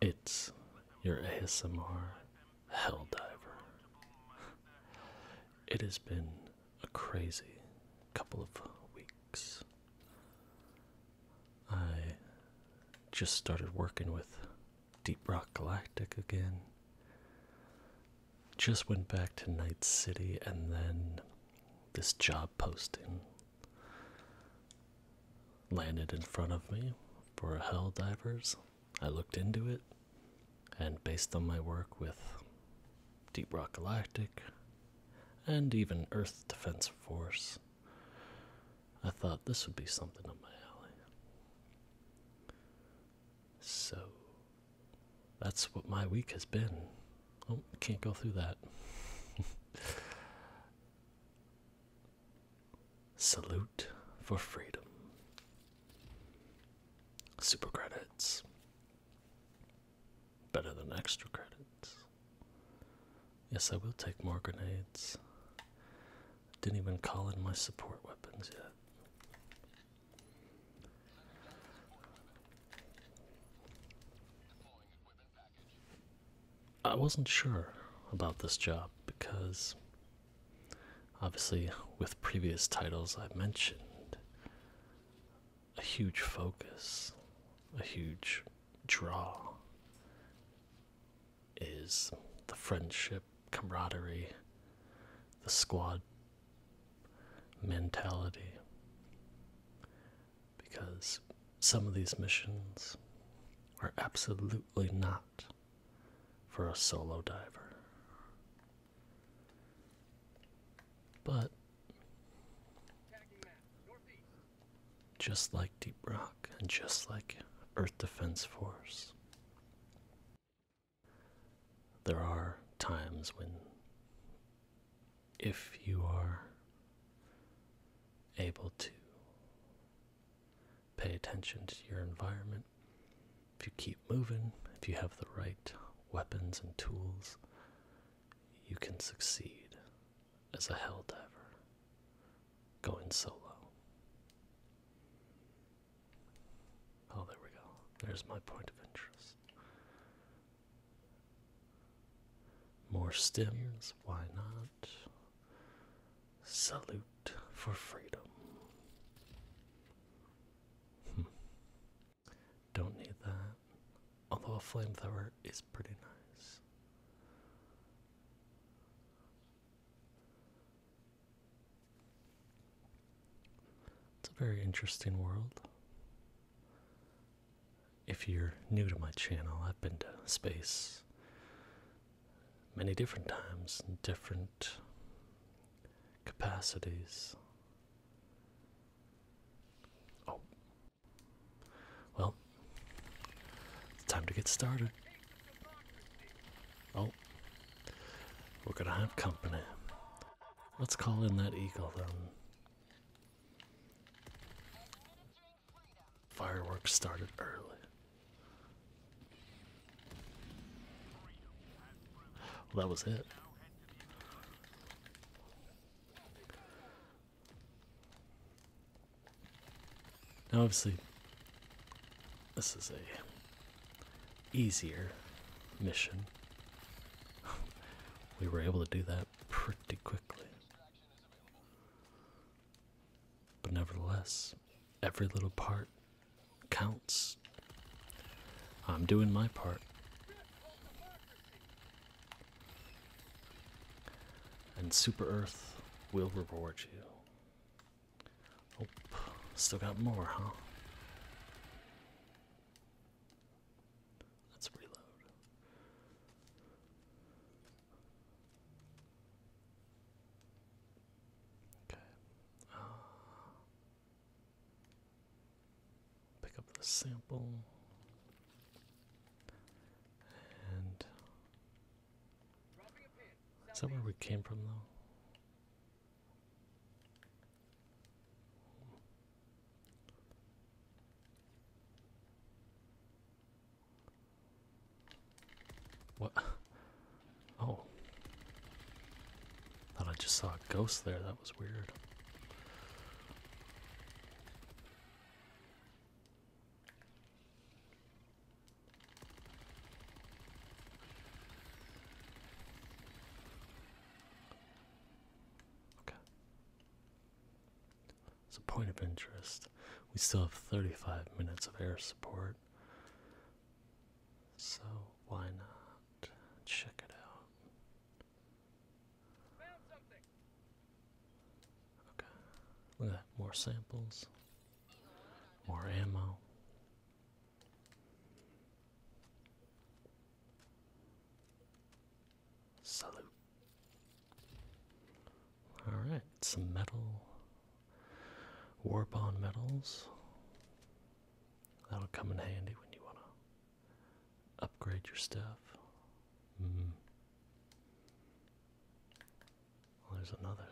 It's your ASMR Helldiver. It has been a crazy couple of weeks. I just started working with Deep Rock Galactic again. Just went back to Night City and then this job posting landed in front of me for Hell Divers. I looked into it and based on my work with Deep Rock Galactic and even Earth Defense Force, I thought this would be something up my alley. So that's what my week has been. Oh, can't go through that. Salute for freedom. Super credits. Better than extra credits. Yes, I will take more grenades. Didn't even call in my support weapons yet. I wasn't sure about this job because obviously, with previous titles I've mentioned, a huge focus, a huge draw is the friendship camaraderie, the squad mentality. Because some of these missions are absolutely not for a solo diver. But just like Deep Rock and just like Earth Defense Force, there are times when, if you are able to pay attention to your environment, if you keep moving, if you have the right weapons and tools, you can succeed as a hell diver going solo. Oh, there we go. There's my point of interest. More stems, why not? Salute for freedom. Hmm. Don't need that. Although a flamethrower is pretty nice. It's a very interesting world. If you're new to my channel, I've been to space many different times in different capacities. Oh. Well, time to get started. Oh, we're going to have company. Let's call in that eagle then. Fireworks started early. that was it. Now, obviously, this is a easier mission. we were able to do that pretty quickly. But nevertheless, every little part counts. I'm doing my part. And Super Earth will reward you. Oh, still got more, huh? Let's reload. Okay. Ah. pick up the sample and. Is that where we came from, though? What? Oh. Thought I just saw a ghost there. That was weird. Okay. It's a point of interest. We still have 35 minutes of air support. So why not check it out? Okay. Look at More samples. More ammo. Salute. Alright, some metal. War bond metals. That'll come in handy when you want to upgrade your stuff. Mm. Well, there's another.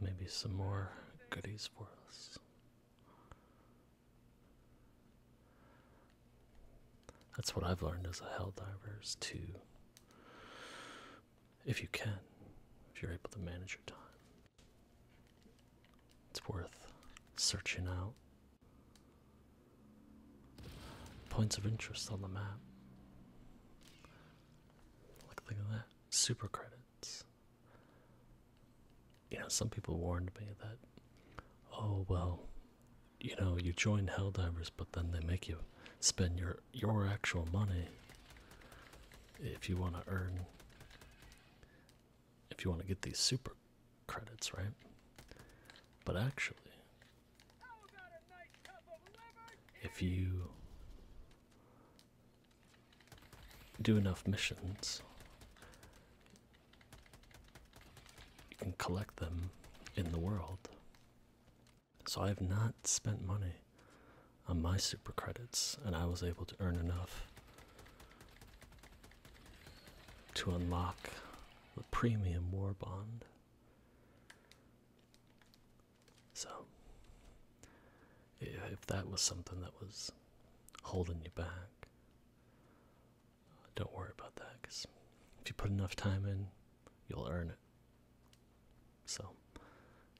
Maybe some more goodies for us. That's what I've learned as a hell diver is to, if you can, if you're able to manage your time, it's worth searching out points of interest on the map. Look, at that. Super credits. You know, some people warned me that, oh, well, you know, you join Hell Divers, but then they make you spend your, your actual money if you want to earn, if you want to get these super credits, right? But actually, if you do enough missions, you can collect them in the world. So I have not spent money on my super credits, and I was able to earn enough to unlock the premium war bond. So, if that was something that was holding you back, don't worry about that because if you put enough time in, you'll earn it. So,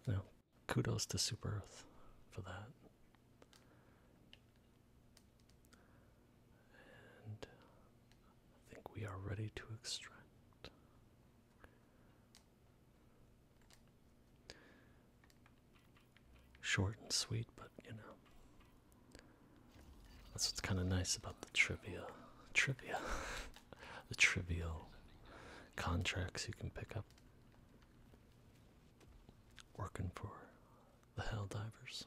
you know, kudos to Super Earth for that. And I think we are ready to extract. Short and sweet, but you know. That's what's kind of nice about the trivia. Trivia. the trivial contracts you can pick up working for the Hell Divers.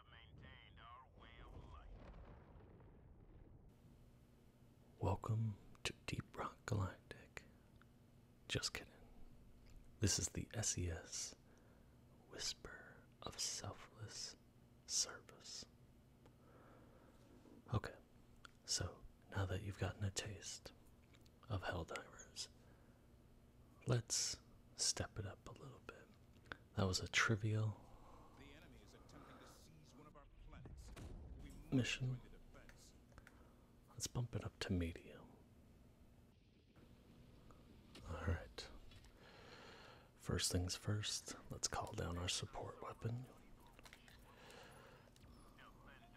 Welcome to Deep Rock Galactic. Just kidding. This is the SES Whisper of Selfless Service. Okay, so now that you've gotten a taste of Hell Divers. Let's step it up a little bit. That was a trivial mission. Let's bump it up to medium. Alright. First things first, let's call down our support weapon.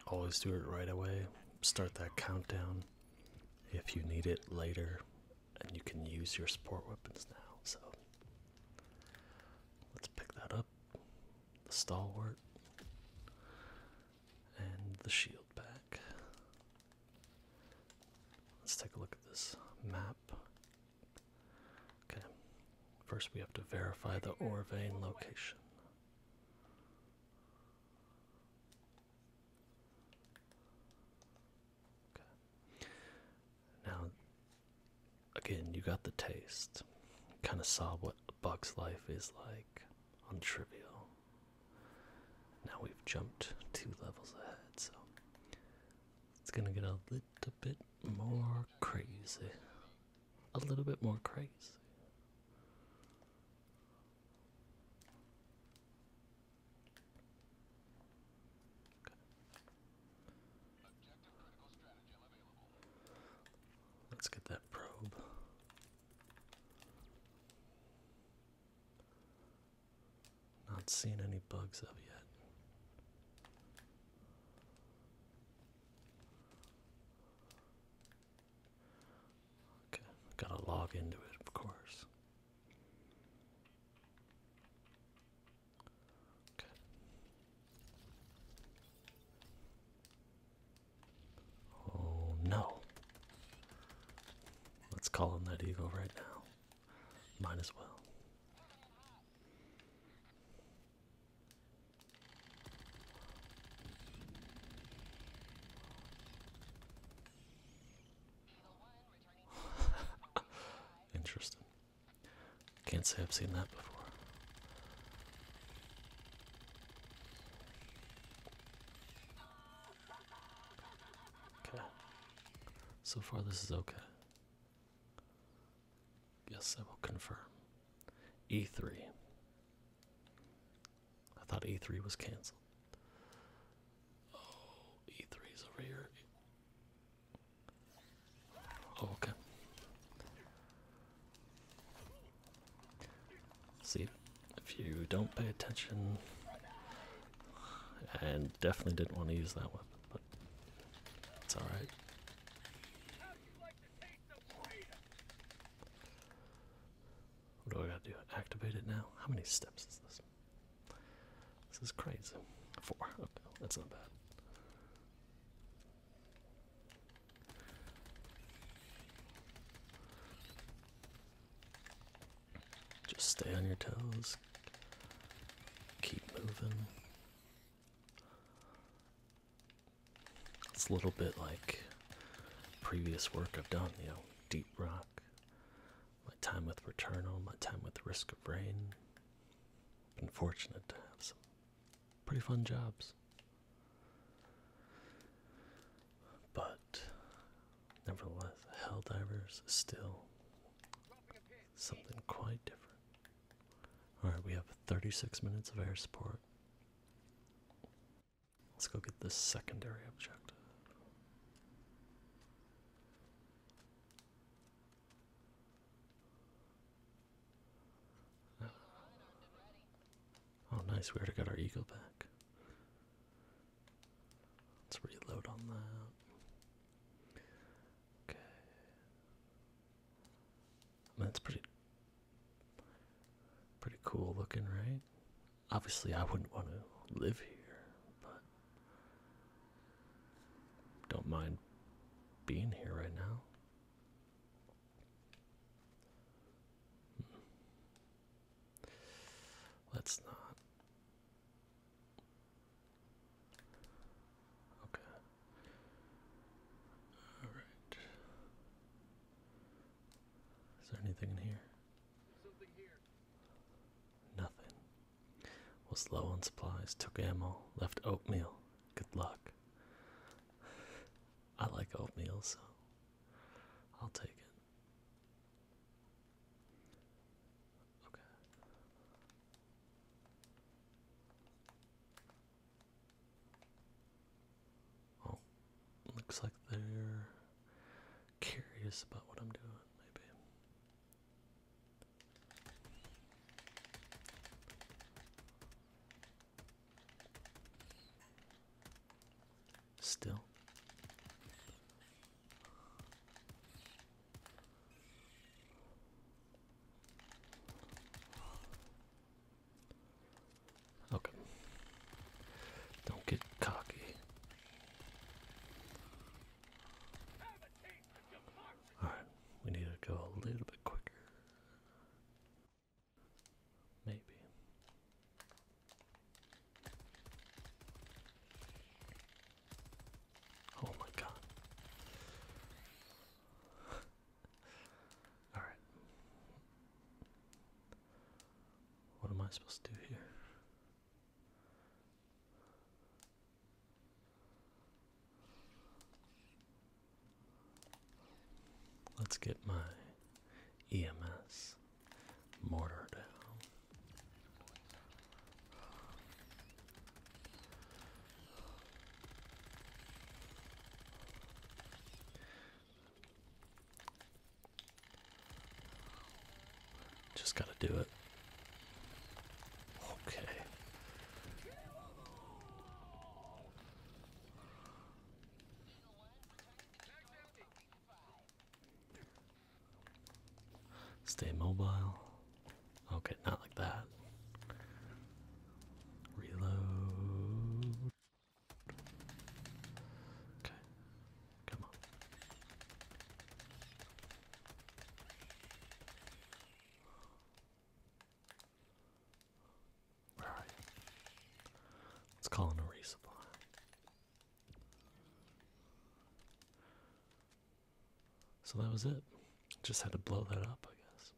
Always do it right away. Start that countdown. If you need it later, and you can use your support weapons now. So let's pick that up the stalwart and the shield back. Let's take a look at this map. Okay, first we have to verify the ore vein location. Now, again, you got the taste. Kind of saw what Bug's life is like on Trivial. Now we've jumped two levels ahead, so it's gonna get a little bit more crazy. A little bit more crazy. Let's get that probe. Not seen any bugs of yet. Okay, gotta log into it, of course. Oh no. Let's call him that eagle right now. Might as well. Interesting. Can't say I've seen that before. Okay. So far, this is okay. Yes, I will confirm. E3. I thought E3 was canceled. Oh, e is over here. Oh, okay. See, if you don't pay attention, and definitely didn't want to use that one, but it's alright. What do I gotta do? Activate it now? How many steps is this? This is crazy. Four. Okay, that's not bad. Just stay on your toes. Keep moving. It's a little bit like previous work I've done, you know, deep rock, my time with Returnal, my time with Risk of Rain. Been fortunate to have some pretty fun jobs. But nevertheless, Helldivers is still something quite different. Alright, we have 36 minutes of air support. Let's go get this secondary objective. Oh, nice. We already got our eagle back. Let's reload on that. Okay. I mean, that's pretty, pretty cool looking, right? Obviously, I wouldn't want to live here, but don't mind being here right now. Hmm. Let's not. Okay. All right. Is there anything in here? Nothing. Was low on supplies, took ammo, left oatmeal. Good luck. I like oatmeal, so I'll take it. Okay. Oh, looks like they're curious about what I'm doing, maybe. Still. Okay. Don't get cocky. Alright, we need to go a little bit quicker. Maybe. Oh my god. Alright. What am I supposed to do here? Let's get my EMS mortar down. Just gotta do it. Okay. Stay mobile. Okay, not like that. Reload. Okay, come on. Let's call in a resupply. So that was it. Just had to blow that up, I guess.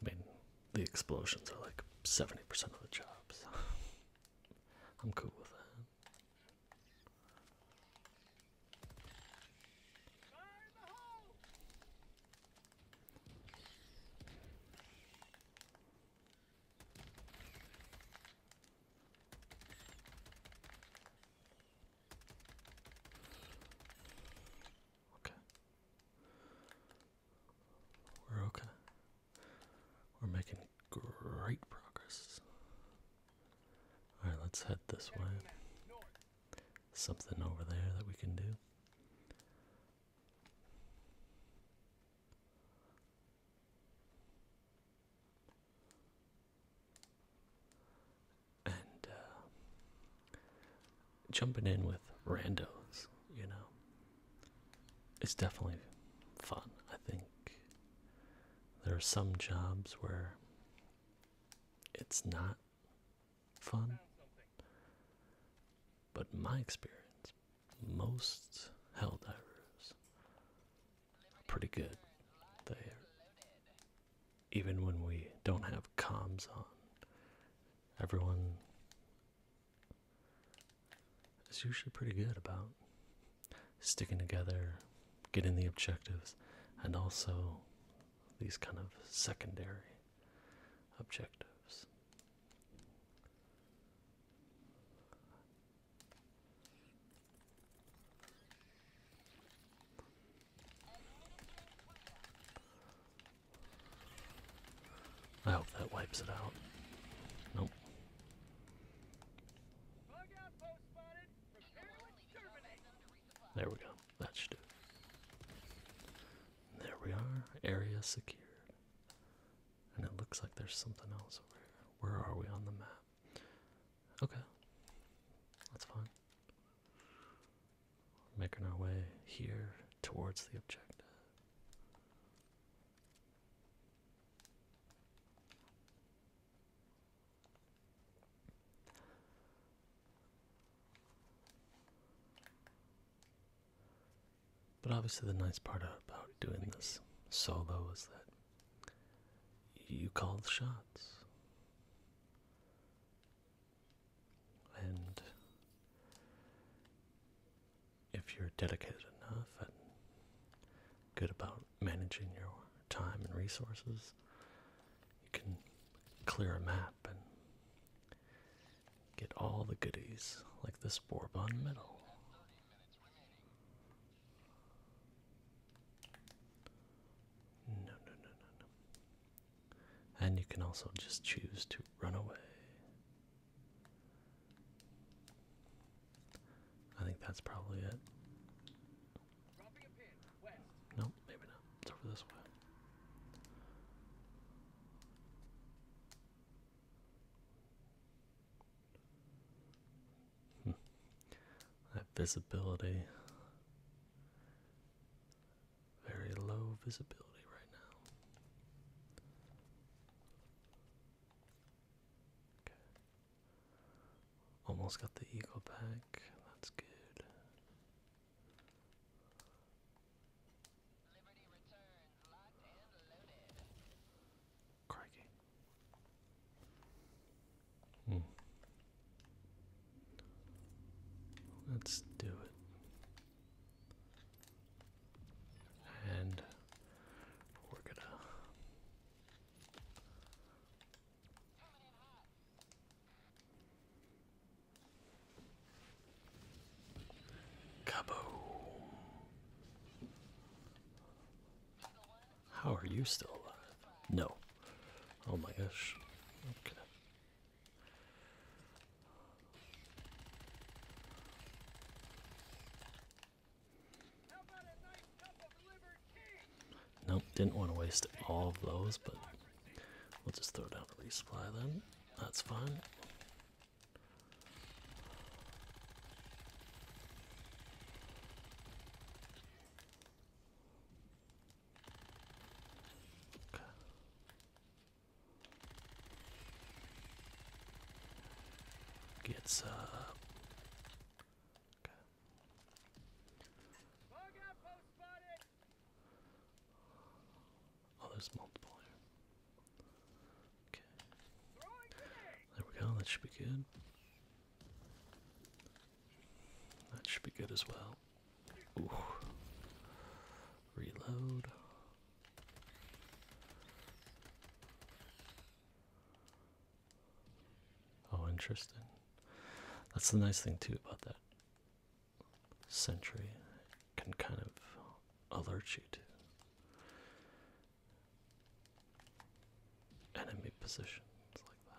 I mean, the explosions are like 70% of the job, so I'm cool with that. Okay. We're okay. We're making great progress. Alright, let's head this way. Something over there that we can do. And uh, jumping in with randos, you know, it's definitely fun. I think there are some jobs where it's not fun, but my experience, most hell divers are pretty good. They, even when we don't have comms on, everyone is usually pretty good about sticking together, getting the objectives, and also these kind of secondary objectives. I hope that wipes it out. Nope. There we go. That should do There we are. Area secured. And it looks like there's something else over here. Where are we on the map? Okay. That's fine. making our way here towards the objective. But obviously, the nice part about doing this solo is that you call the shots. And if you're dedicated enough and good about managing your time and resources, you can clear a map and get all the goodies like this Bourbon medal. No, no, no, no, no. And you can also just choose to run away. I think that's probably it. No, maybe not. It's over this way. Hmm. That visibility. Very low visibility right now. Okay. Almost got the eagle back. That's good. Crikey. Hmm. Let's do it. And we're gonna Kaboom. How are you still alive? No. Oh my gosh. Okay. Nope, didn't want to waste all of those, but we'll just throw down the resupply then. That's fine. Okay. Gets uh Oh, okay. There we go, that should be good. That should be good as well. Reload. Oh, interesting. That's the nice thing, too, about that sentry. can kind of alert you to enemy positions like that.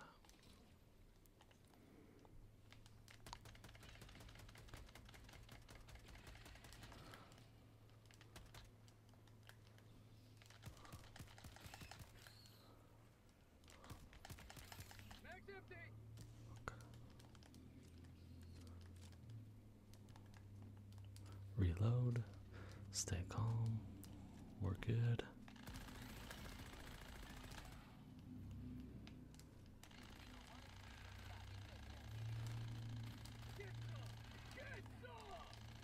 Reload. Stay calm. We're good.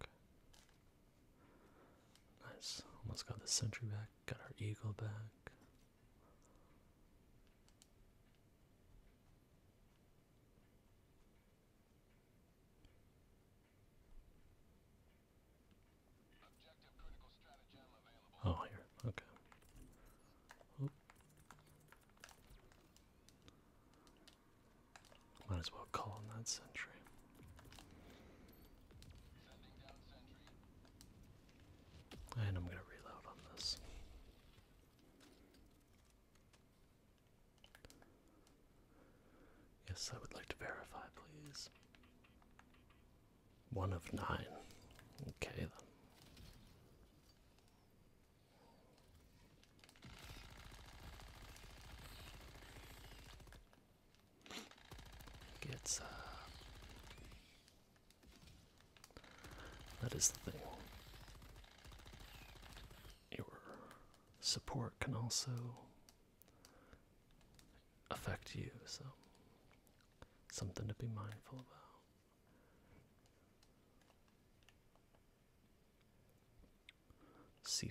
Okay. Nice. Almost got the sentry back. Got our eagle back. Oh, here. Okay. Might as well call on that sentry. And I'm going to reload on this. Yes, I would like to verify, please. One of nine. Okay, then. Gets uh, that is the thing. Your support can also affect you, so something to be mindful about. C5.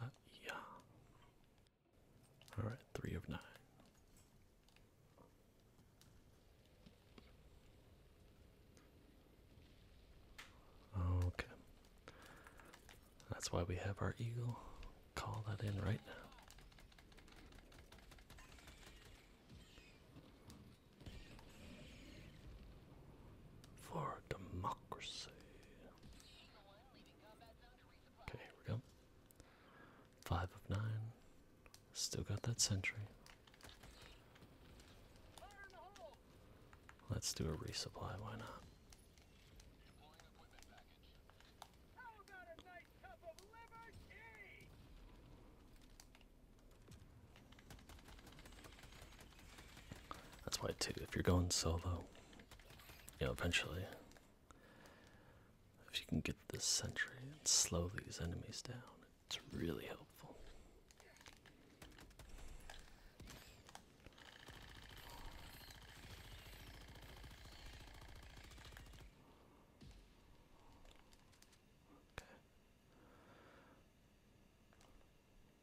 uh, yeah. All right, three of nine. Okay. That's why we have our eagle. Call that in right now. For democracy. Okay, here we go. Five of nine. Still got that sentry. Let's do a resupply, why not? That's why too, if you're going solo, you know, eventually if you can get the sentry and slow these enemies down, it's really helpful.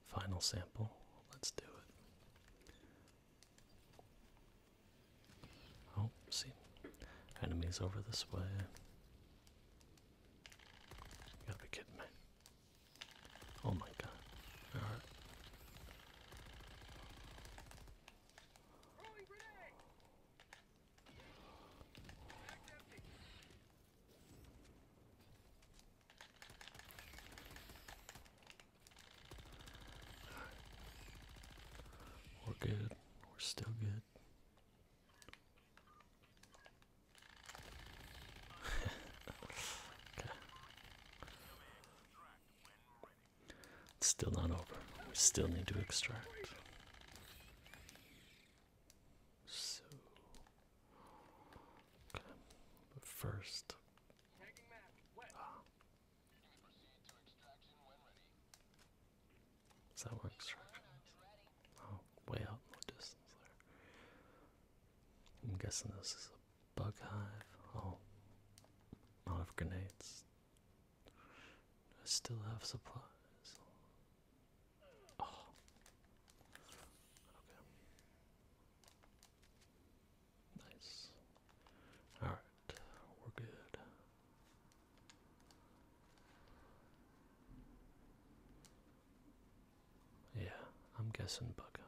Final sample. Let's do it. Oh, see, enemy's over this way. gotta be kidding me. Oh my god. We're good. We're still good. It's still not over. We still need to extract. So, But first, ah. is that where extraction Oh, way out in distance there. I'm guessing this is bug hive. Oh, lot of grenades. I still have supplies. Oh, okay. Nice. All right, we're good. Yeah, I'm guessing bug hive.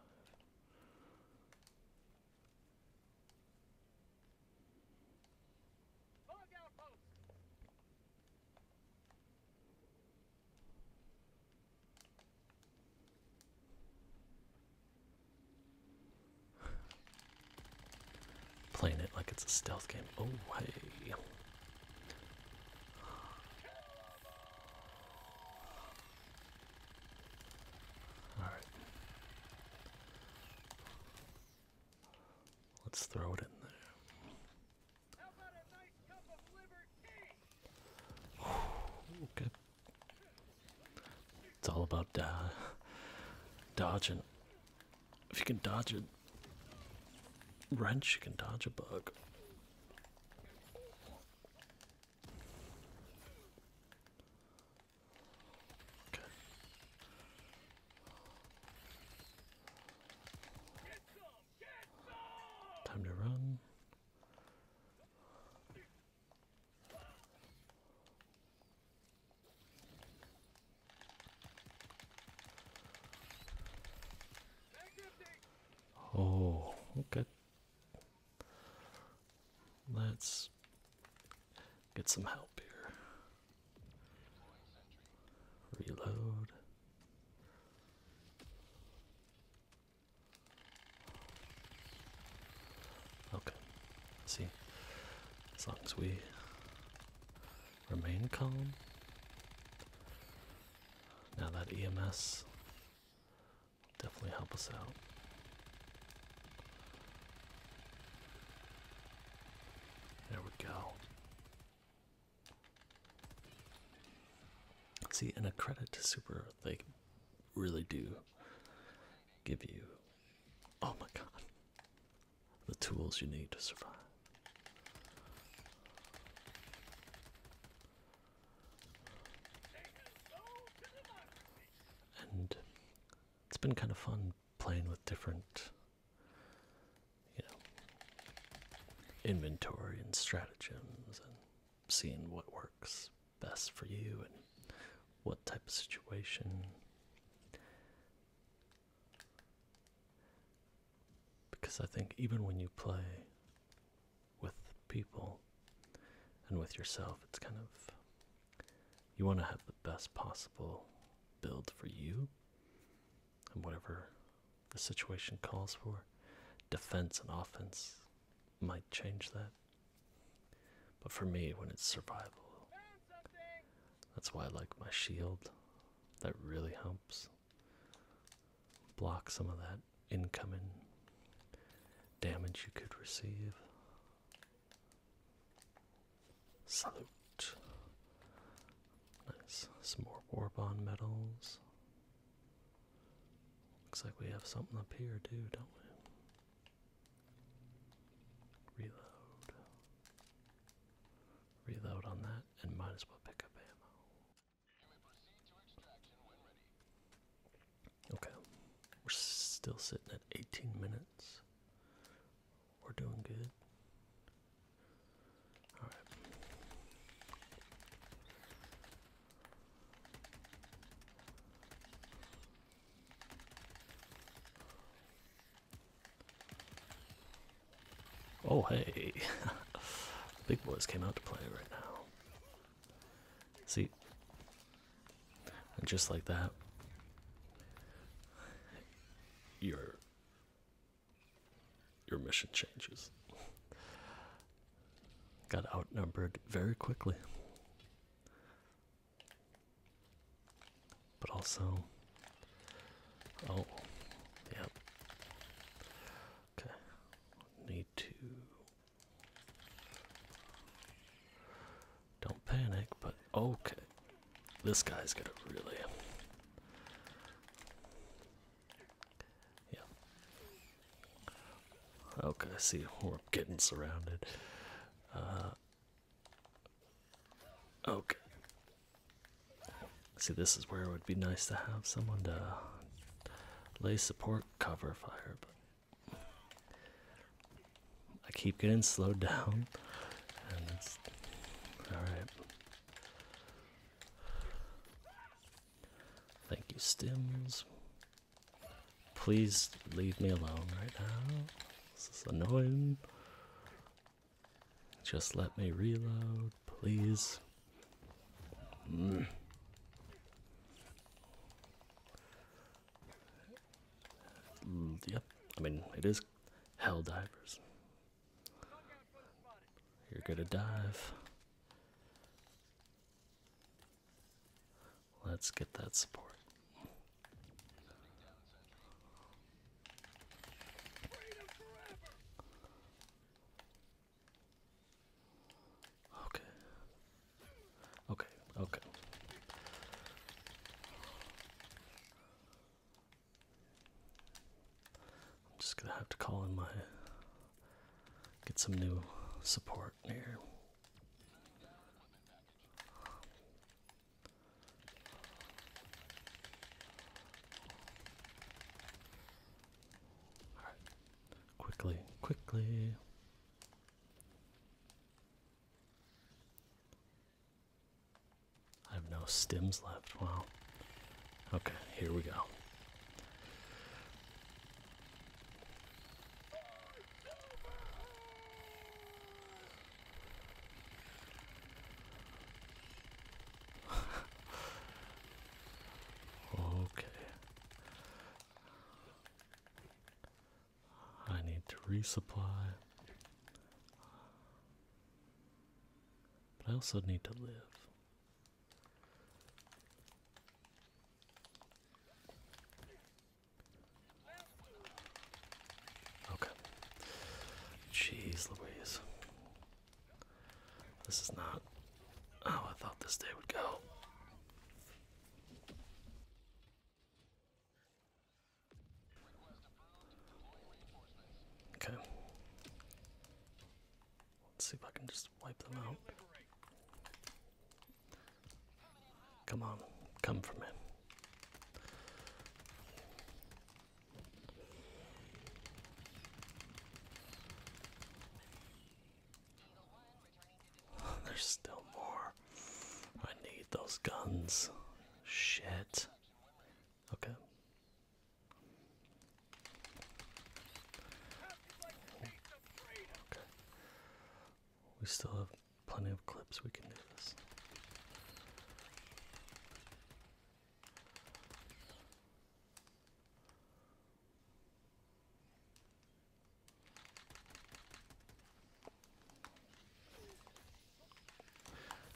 Playing it like it's a stealth game. Oh, hey. All right. Let's throw it in there. okay. It's all about dodging. If you can dodge a wrench, you can dodge a bug. Okay. Get some, get some! Time to run. Oh, okay. Let's get some help here. Reload. Okay. See, as long as we remain calm. Now that EMS definitely help us out. There we go. See, and a credit to Super, they really do give you, oh my god, the tools you need to survive. And it's been kind of fun playing with different, you know, inventory and stratagems and seeing what works best for you and what type of situation. Because I think even when you play with people and with yourself. It's kind of you want to have the best possible build for you and whatever the situation calls for. Defense and offense might change that. But for me, when it's survival, that's why I like my shield. That really helps block some of that incoming damage you could receive. Salute. Nice. Some more war bond medals. Looks like we have something up here too, don't we? Reload. Reload on that and might as well pick up ammo. Okay, we're still sitting at 18 minutes. We're doing good. All right. Oh, hey. Big boys came out to play right now. See, just like that, your your mission changes. Got outnumbered very quickly. But also, oh, yep. Okay, need to don't panic, but okay. This guy's gonna really. Yeah. Okay, see, we're getting surrounded. Uh, okay. See, this is where it would be nice to have someone to lay support cover fire, but I keep getting slowed down, all right. Thank you, Stims. Please leave me alone right now. This is annoying. Just let me reload, please. Mm. Mm, yep, I mean, it is hell divers. You're gonna dive. Let's get that support. Okay. Okay, okay. I'm just gonna have to call in my. get some new support here. All right. Quickly, quickly. I have no stems left. Wow. Okay, here we go. okay. I need to resupply. But I also need to live. Okay. Jeez Louise. This is not how I thought this day would go. Okay. see if I can just wipe them out. Come on, come for me. There's still more. I need those guns. Shit. Okay. Okay. We still have plenty of clips. We can do this.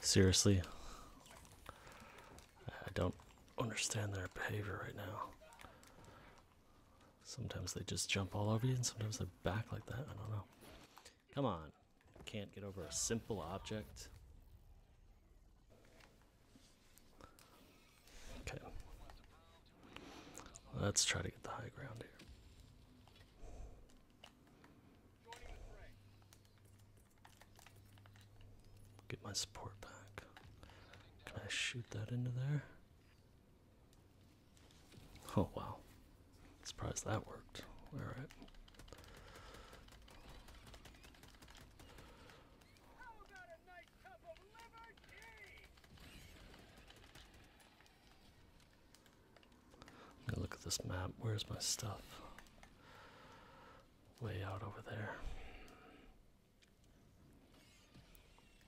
Seriously, I don't understand their behavior right now. Sometimes they just jump all over you, and sometimes they're back like that. I don't know. Come on, can't get over a simple object. Okay. Let's try to get the high ground here. Get my support back. Can I shoot that into there? Oh wow. Surprised that worked. Alright. I'm look at this map. Where's my stuff? Way out over there.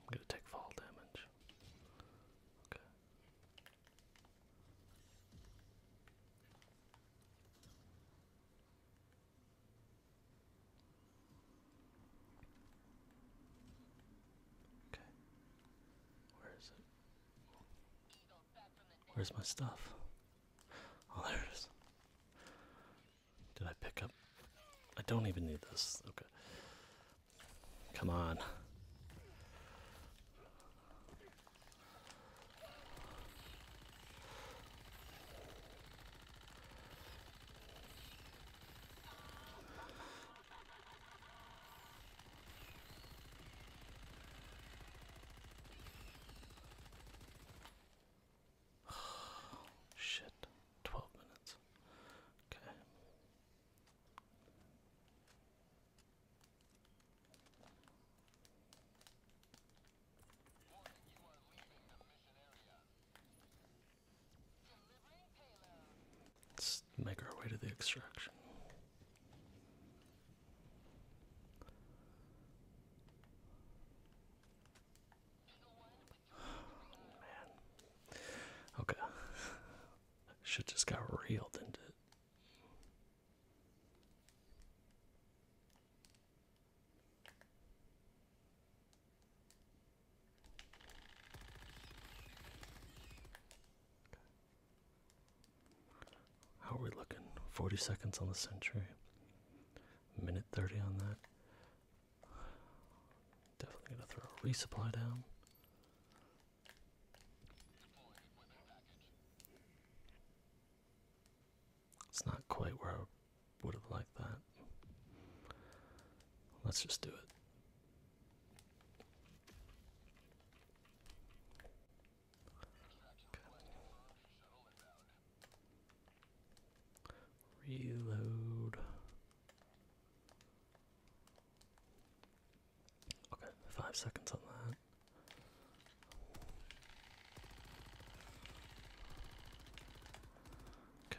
I'm gonna take fall damage. Okay. Okay. Where is it? Where's my stuff? Oh, there it is. Did I pick up? I don't even need this. Okay. Come on. Shit, 12 minutes. Okay. Warning, you are leaving the mission area. Let's make our way to the extraction. Man. Okay. Shit just got reeled into how are we looking? 40 seconds on the century. Minute 30 on that. Definitely gonna throw a resupply down. It's not quite where I would have liked that. Let's just do it. Reload. Okay, five seconds on that. Okay.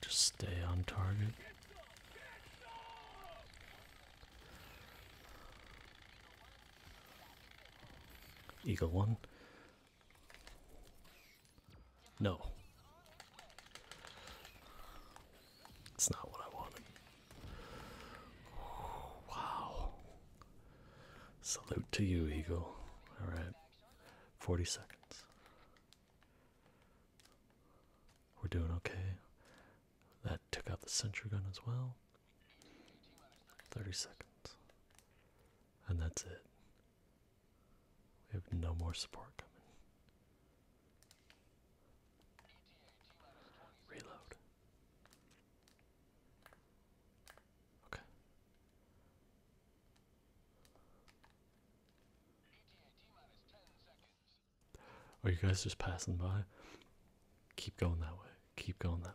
just stay on target. Eagle one. No. It's not what I wanted. wow. Salute to you, Eagle. Alright. 40 seconds. We're doing okay. That took out the center gun as well. 30 seconds. And that's it. We have no more support coming. Reload. Okay. Are oh, you guys just passing by? Keep going that way. Keep going that way.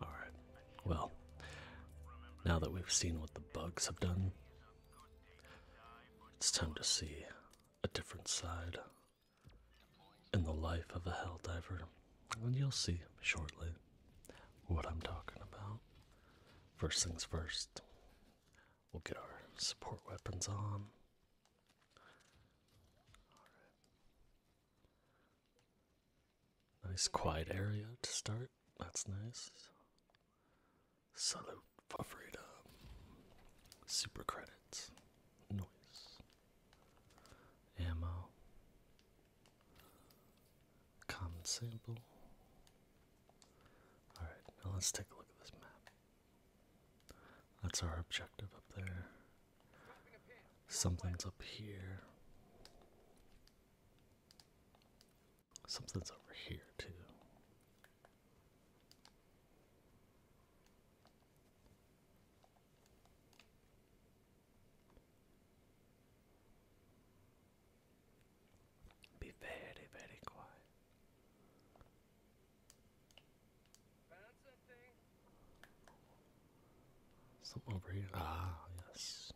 Alright, well, now that we've seen what the bugs have done, it's time to see a different side in the life of a hell diver, And you'll see shortly what I'm talking about. First things first, we'll get our support weapons on. Nice quiet area to start. That's nice. Salute Favrida. Super credits. Noise. Ammo. Common sample. Alright, now let's take a look at this map. That's our objective up there. Something's up here. Something's over here, too. Be very, very quiet. Something over here. Ah, yes.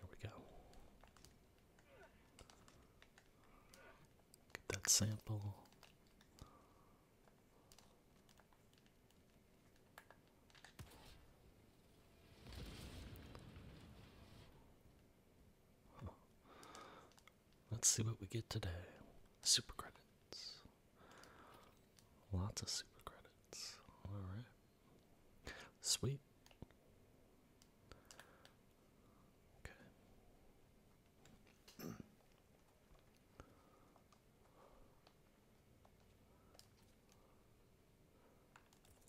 There we go. Get that sample. Let's see what we get today. Super credits. Lots of super credits. Alright. Sweet. Okay.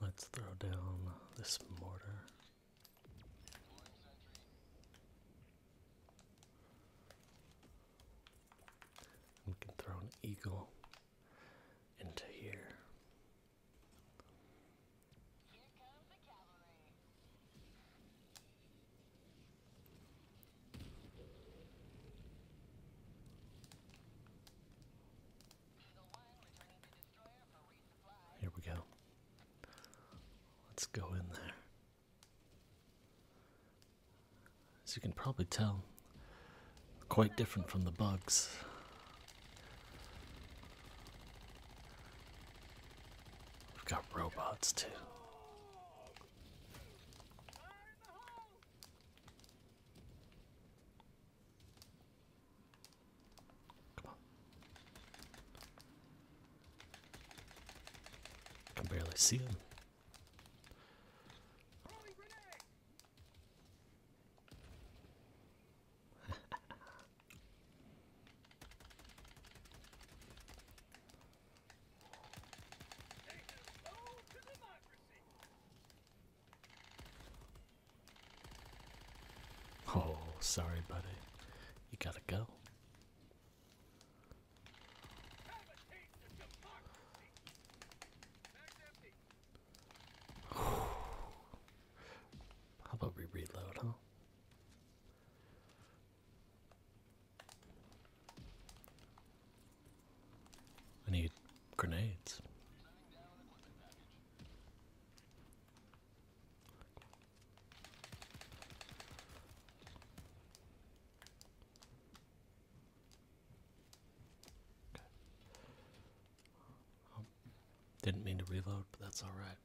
Let's throw down this mortar. We can throw an eagle into here. Here we go. Let's go in there. As you can probably tell, quite different from the bugs. We've got robots too. Come on. I can barely see him. oh, sorry, buddy. You gotta go. How about we reload, huh? I need grenades didn't mean to reload, but that's all right.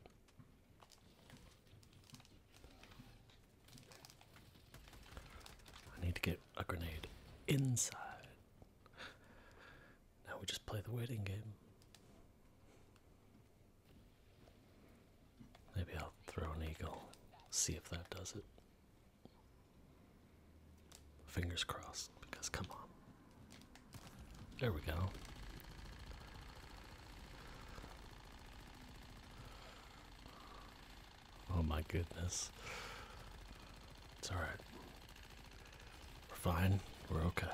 I need to get a grenade inside. Now we just play the waiting game. Maybe I'll throw an eagle, see if that does it. Fingers crossed, because come on. There we go. Oh my goodness. It's alright. We're fine. We're okay.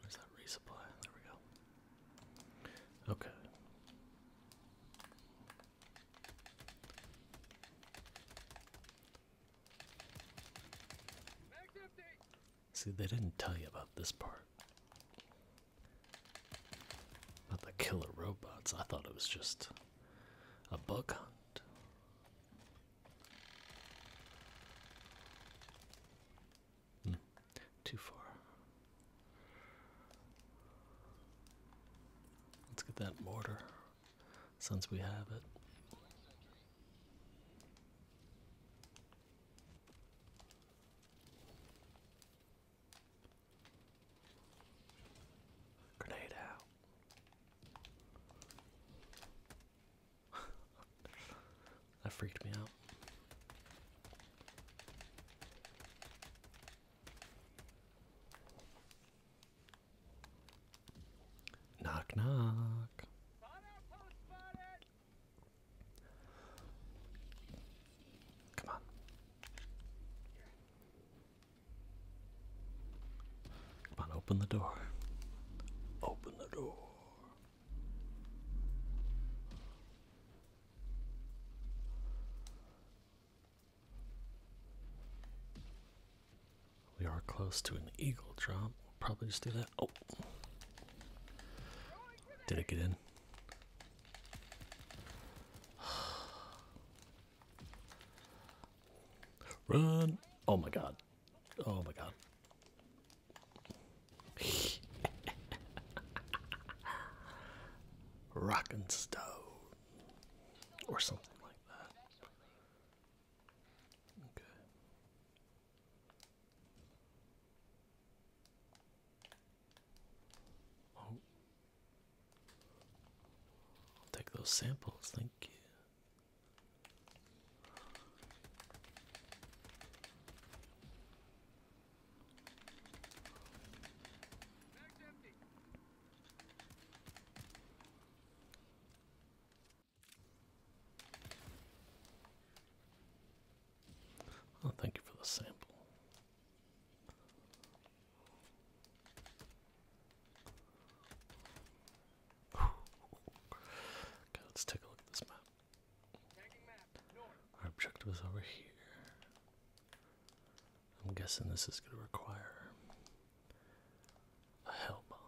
Where's that resupply? There we go. Okay. See, they didn't tell you about this part. About the killer robots. I thought it was just a bug hunt. Hmm. too far. Let's get that mortar since we have it. Grenade out. that freaked me out. Knock, knock. Come on. Come on, open the door. Open the door. We are close to an eagle drop. We'll probably just do that. Oh. Did it get in? Run! Oh my god. Oh my god. Rock and stone. Or something like that. Okay. Oh, I'll take those samples, thank you. Oh, thank you for the sample. Okay, let's take a look at this map. Our objective is over here. I'm guessing this is going to require a hell bomb.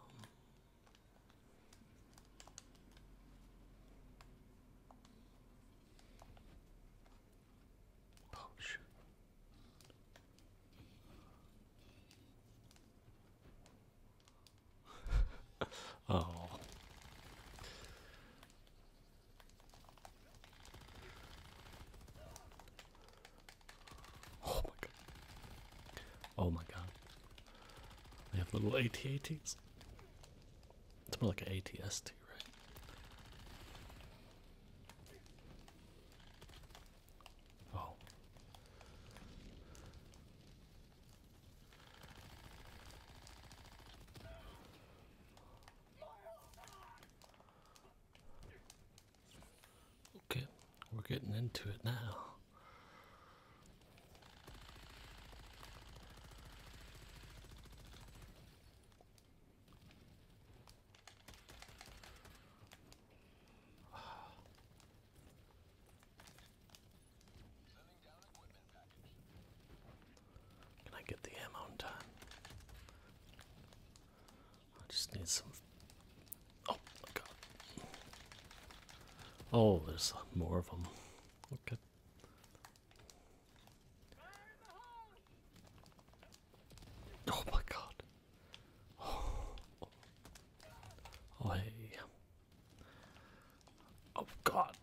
Oh shoot oh. Oh my god. Oh my god. They have little AT-ATs. It's more like an ATST, right? Okay, we're getting into it now. Can I get the ammo in I just need some. Oh my god. Oh, there's more of them. Okay. Oh my god. Oh, oh god.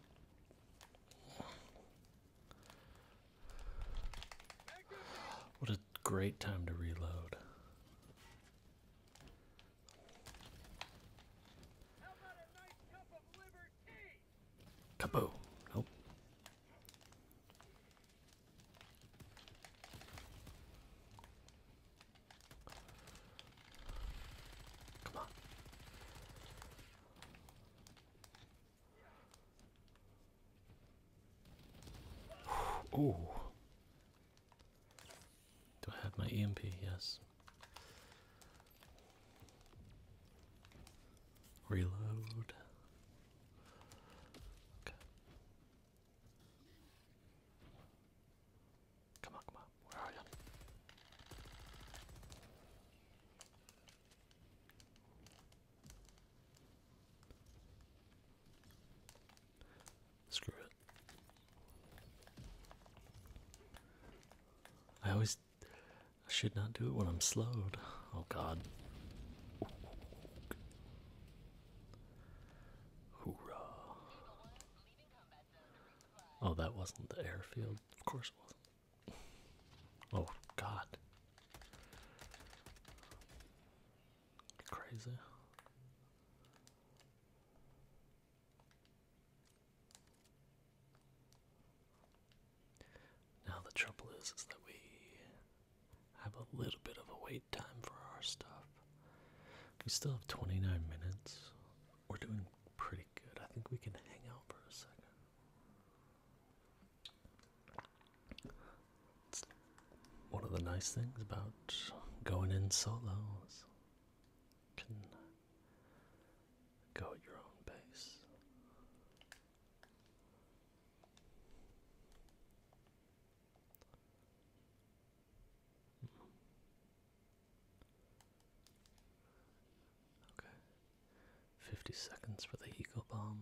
What a great time to reload. Nice Nope. Come on. Ooh. Do I have my EMP? Yes. Reload. Okay. Come on, come on. Where are you? Screw it. I always I should not do it when I'm slowed. Oh god. Hoorah! Oh, that wasn't the airfield. Of course it wasn't. Oh, God. Crazy. Now the trouble is, is that we have a little bit of a wait time for our stuff. We still have 29 minutes. We're doing pretty good. I think we can hang out for a second. one of the nice things about going in solos can go at your own pace. Okay. Fifty seconds for the ego bomb.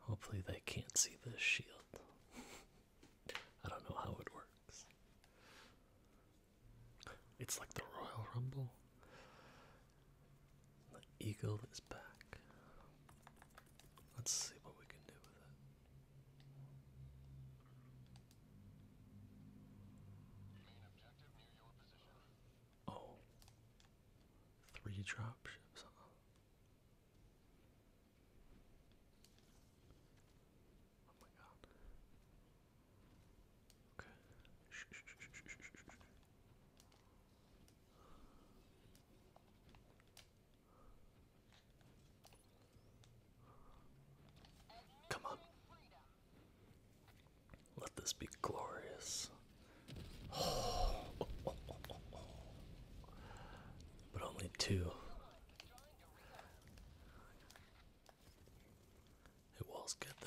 Hopefully they can't see the shield. I don't know how it works. It's like the Royal Rumble. The eagle is back. Let's see what we can do with it. Main oh. dropships, Oh my god. Come on. Let this be glorious. But only two. Who else could though?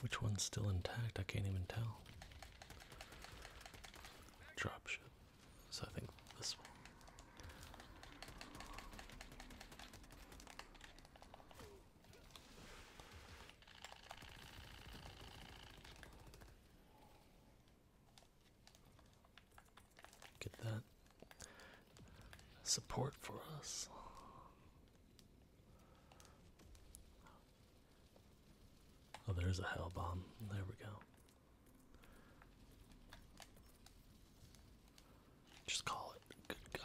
Which one's still intact? I can't even tell. Dropship. So I think this one. Get that support for us. Oh, there's a hell bomb. There we go. Just call it. Good God.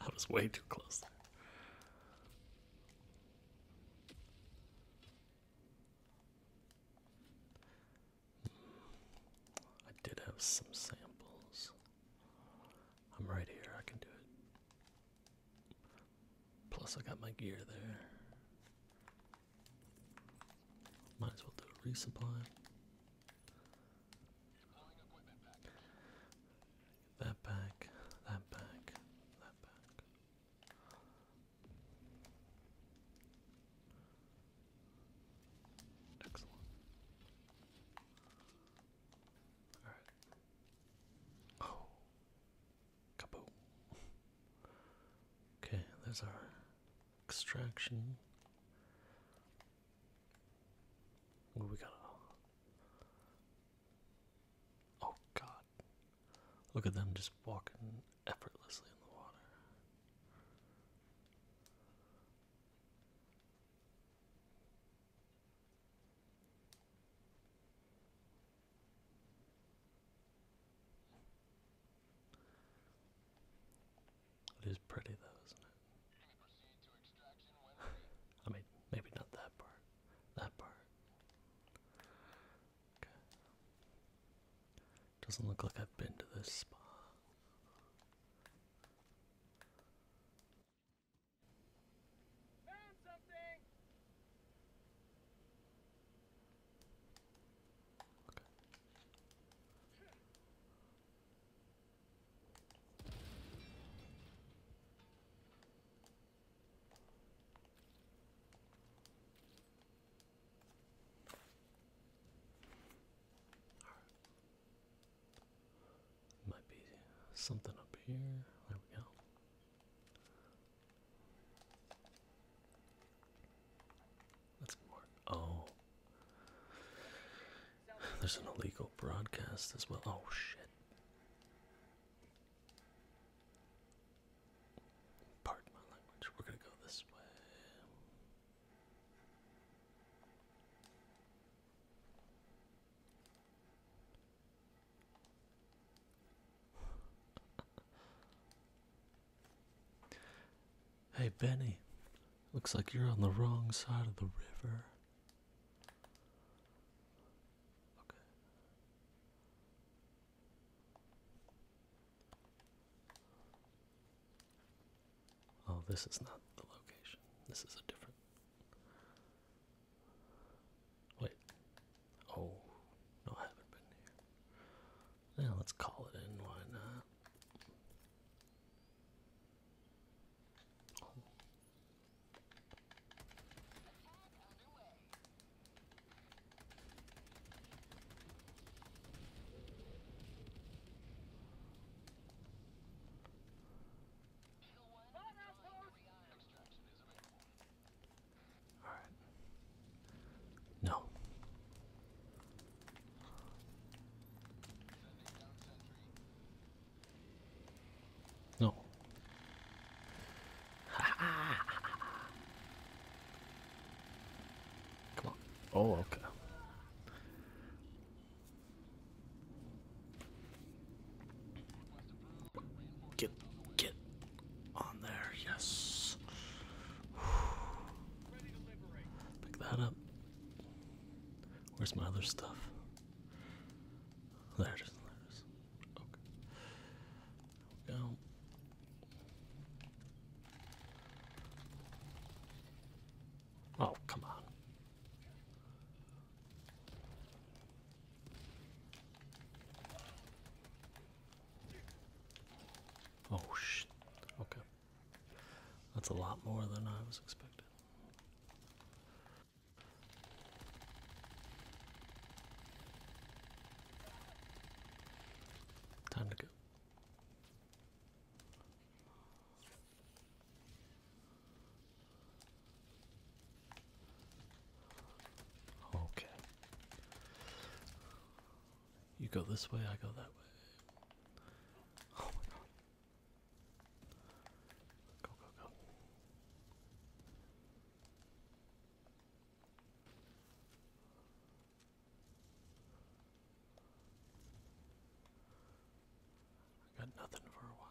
I was way too close. I did have some samples. I'm right here, I can do it. Plus, I got my gear there. Might as well do resupply. That back, that back, that back. Excellent. Alright. Oh. Kaboom. okay, there's our extraction. we got? Oh God! Look at them just walking effortlessly in the water. It is pretty though, isn't it? I mean, maybe not that part. That part. Okay. Doesn't look like I've been to this spa. Found something. Might be something up here. There we go. Let's Oh. There's an illegal broadcast as well. Oh, shit. Pardon my language. We're going to go this way. Hey, Benny, looks like you're on the wrong side of the river. Okay. Oh, this is not the location. This is a different. Wait. Oh, no, I haven't been here. Yeah, let's call it in. Why not? All right. No. No. Come on. Oh, okay. Get, get on there, yes. Pick that up. Where's my other stuff? There There Okay. go. Oh, come on. Oh, shit. Okay. That's a lot more than I was expecting. Time to go. Okay. You go this way, I go that way. Oh my god. Go, go, go. I got nothing for a while.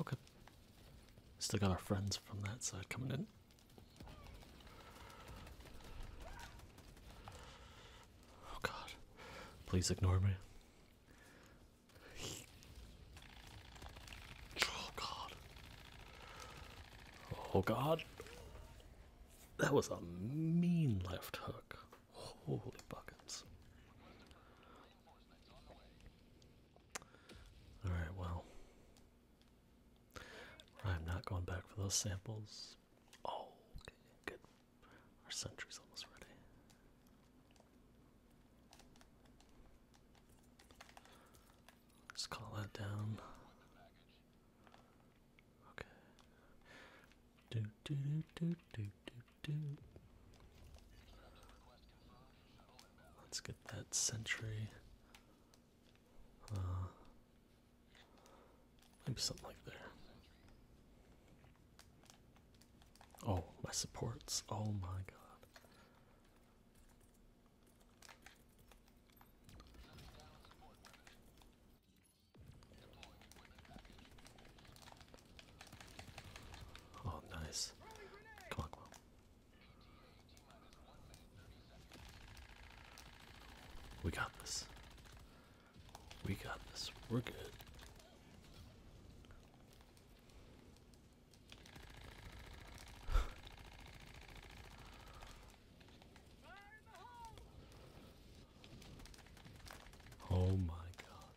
Okay. Still got our friends from that side coming in. Oh god. Please ignore me. Oh god. Oh god. That was a mean left hook. Holy buckets. Alright, well. I'm not going back for those samples. Oh, good. Our sentry's almost ready. let call that down. Okay. Let's get that sentry. Uh, maybe something like there. Oh, my supports. Oh my god. Oh, nice. Come on, come on. We got this. We got this. We're good. oh my god.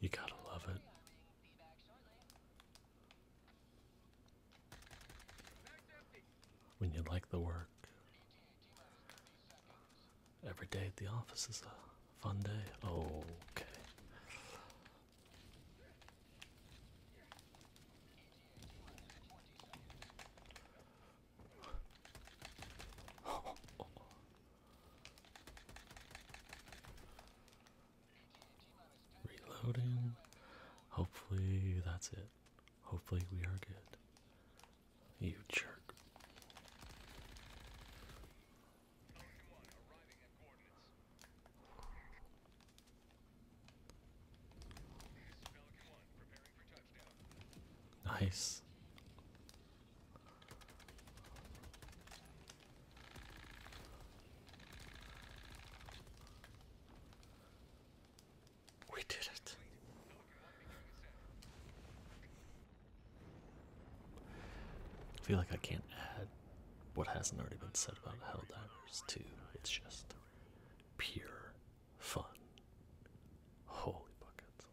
You gotta love it. When you like the work. Every day at the office is a fun day. Oh, okay. Reloading. Hopefully that's it. Hopefully we are good. You jerk. Nice. We did it. I feel like I can't add what hasn't already been said about Helldivers 2. It's just pure fun. Holy buckets.